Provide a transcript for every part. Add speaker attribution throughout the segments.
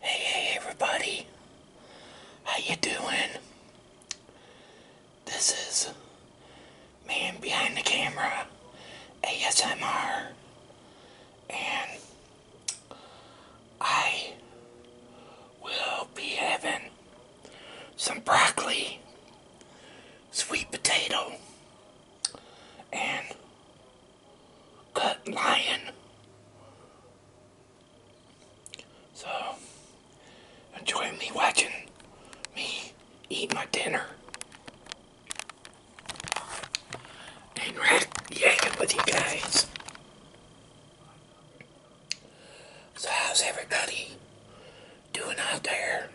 Speaker 1: Hey, hey, everybody. How you doing? This is Man Behind the Camera ASMR. And I will be having some broccoli, sweet potato, and cut lion. So, enjoy me watching me eat my dinner. And rack yakking with you guys. So how's everybody doing out there?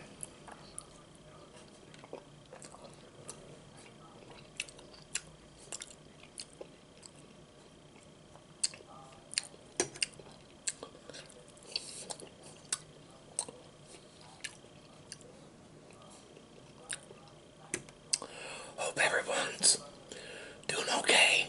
Speaker 1: Hope everyone's doing okay.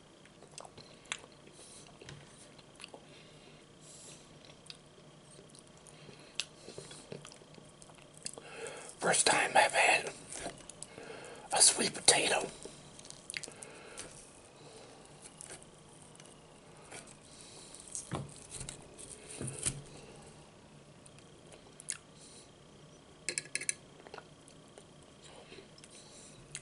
Speaker 1: First time I've had a sweet potato.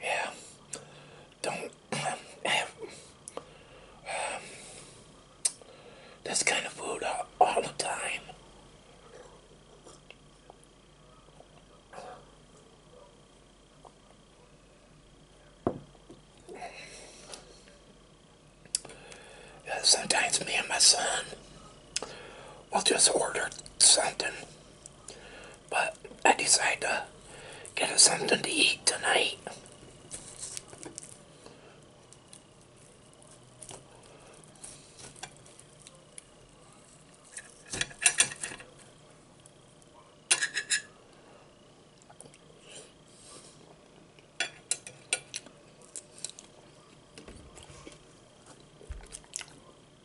Speaker 1: Yeah, don't this kind of food all the time. Sometimes me and my son will just order something but I decided to get us something to eat tonight.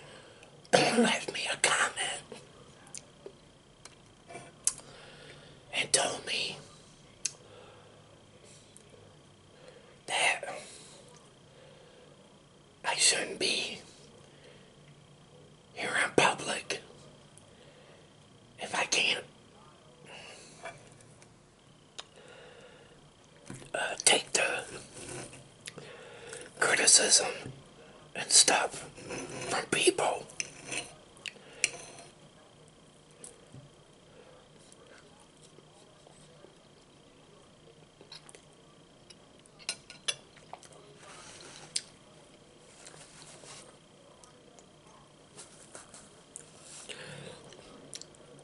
Speaker 1: left me a comment and told me that I shouldn't be here in public if I can't uh, take the criticism and stuff from people.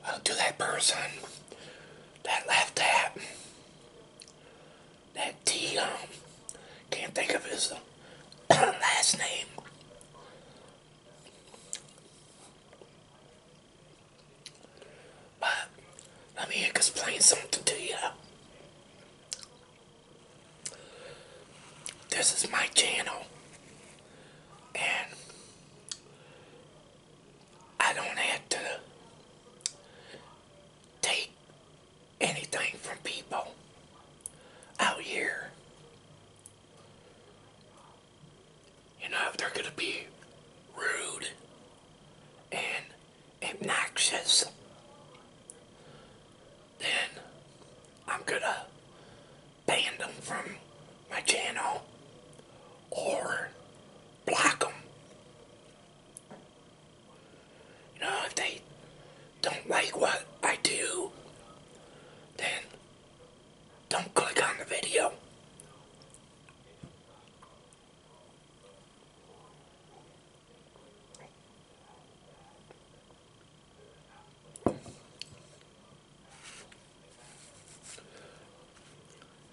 Speaker 1: I'll do that person that left that that T, um, can't think of his uh, last name. But let me explain something to you. This is my channel, and I don't have to take anything from people out here. You know, if they're going to be rude and obnoxious, then I'm going to ban them from my channel or block them. You know, if they don't like what I do, then don't click on the video.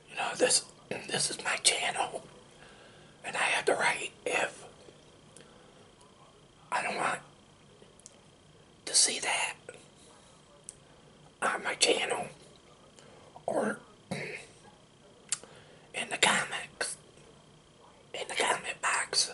Speaker 1: You know, this this is my channel, and I have the right if I don't want to see that on my channel or in the comics in the comment box.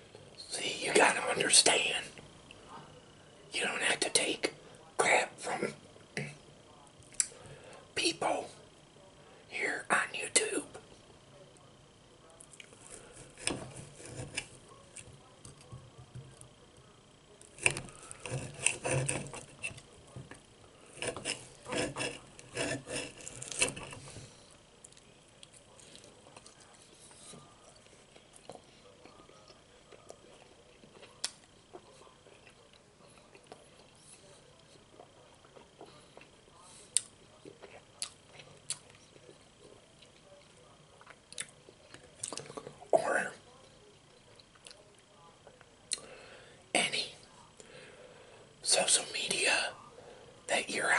Speaker 1: See, you gotta understand. You don't have to take crap from people here on YouTube. Or any social media that you're on.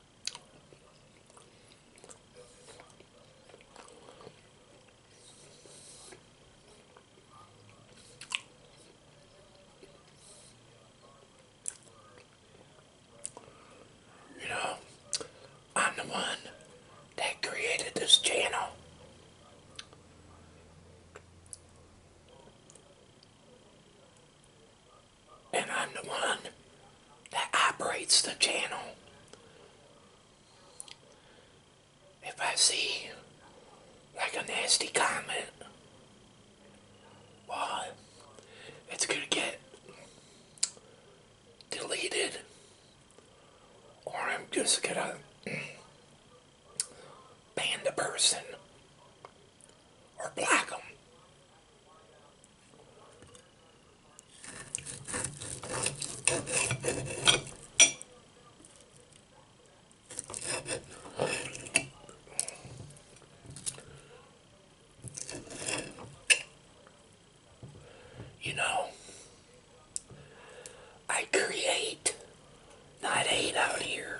Speaker 1: You know, I'm the one that created this channel and I'm the one that operates the channel. If I see like a nasty comment, well, it's going to get deleted, or I'm just going to ban the person or black them. You know, I create, not hate out here.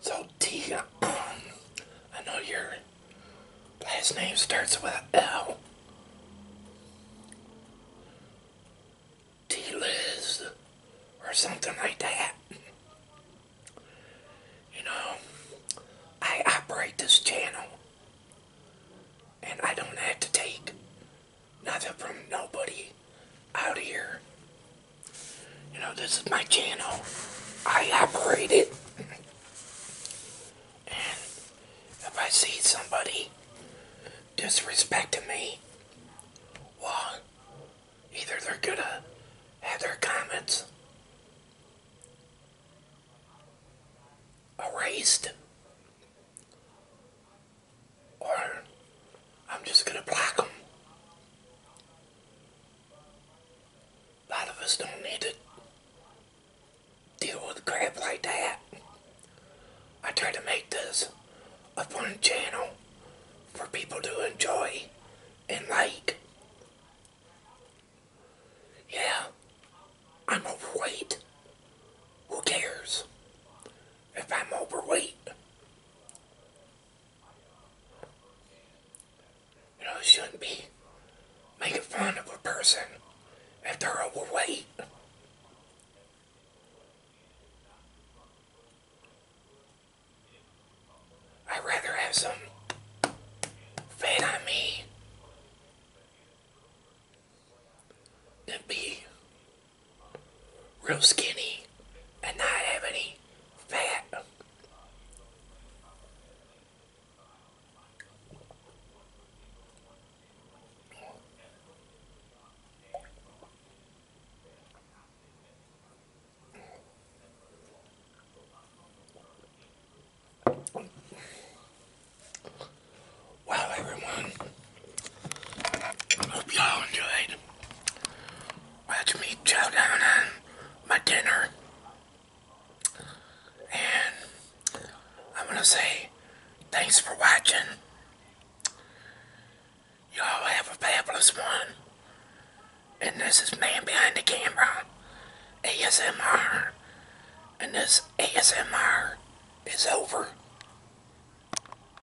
Speaker 1: So T, I know your last name starts with L. T Liz or something like that. You know, I operate this channel and I don't have to take nothing from nobody out here you know, this is my channel. I operate it. And if I see somebody disrespecting me, well, either they're gonna have their comments erased, or I'm just gonna block them a lot of us don't need to deal with crap like that. I try to make this a fun channel for people to enjoy and like. Yeah, I'm overweight. Who cares if I'm overweight? You know, you shouldn't be making fun of a person if they're overweight. I'd rather have some fat on me than be real skinny and not have any fat. Wow, everyone. I hope y'all enjoyed watching me chow down on my dinner. And I'm going to say thanks for watching. Y'all have a fabulous one. And this is Man Behind the Camera, ASMR. And this ASMR is over.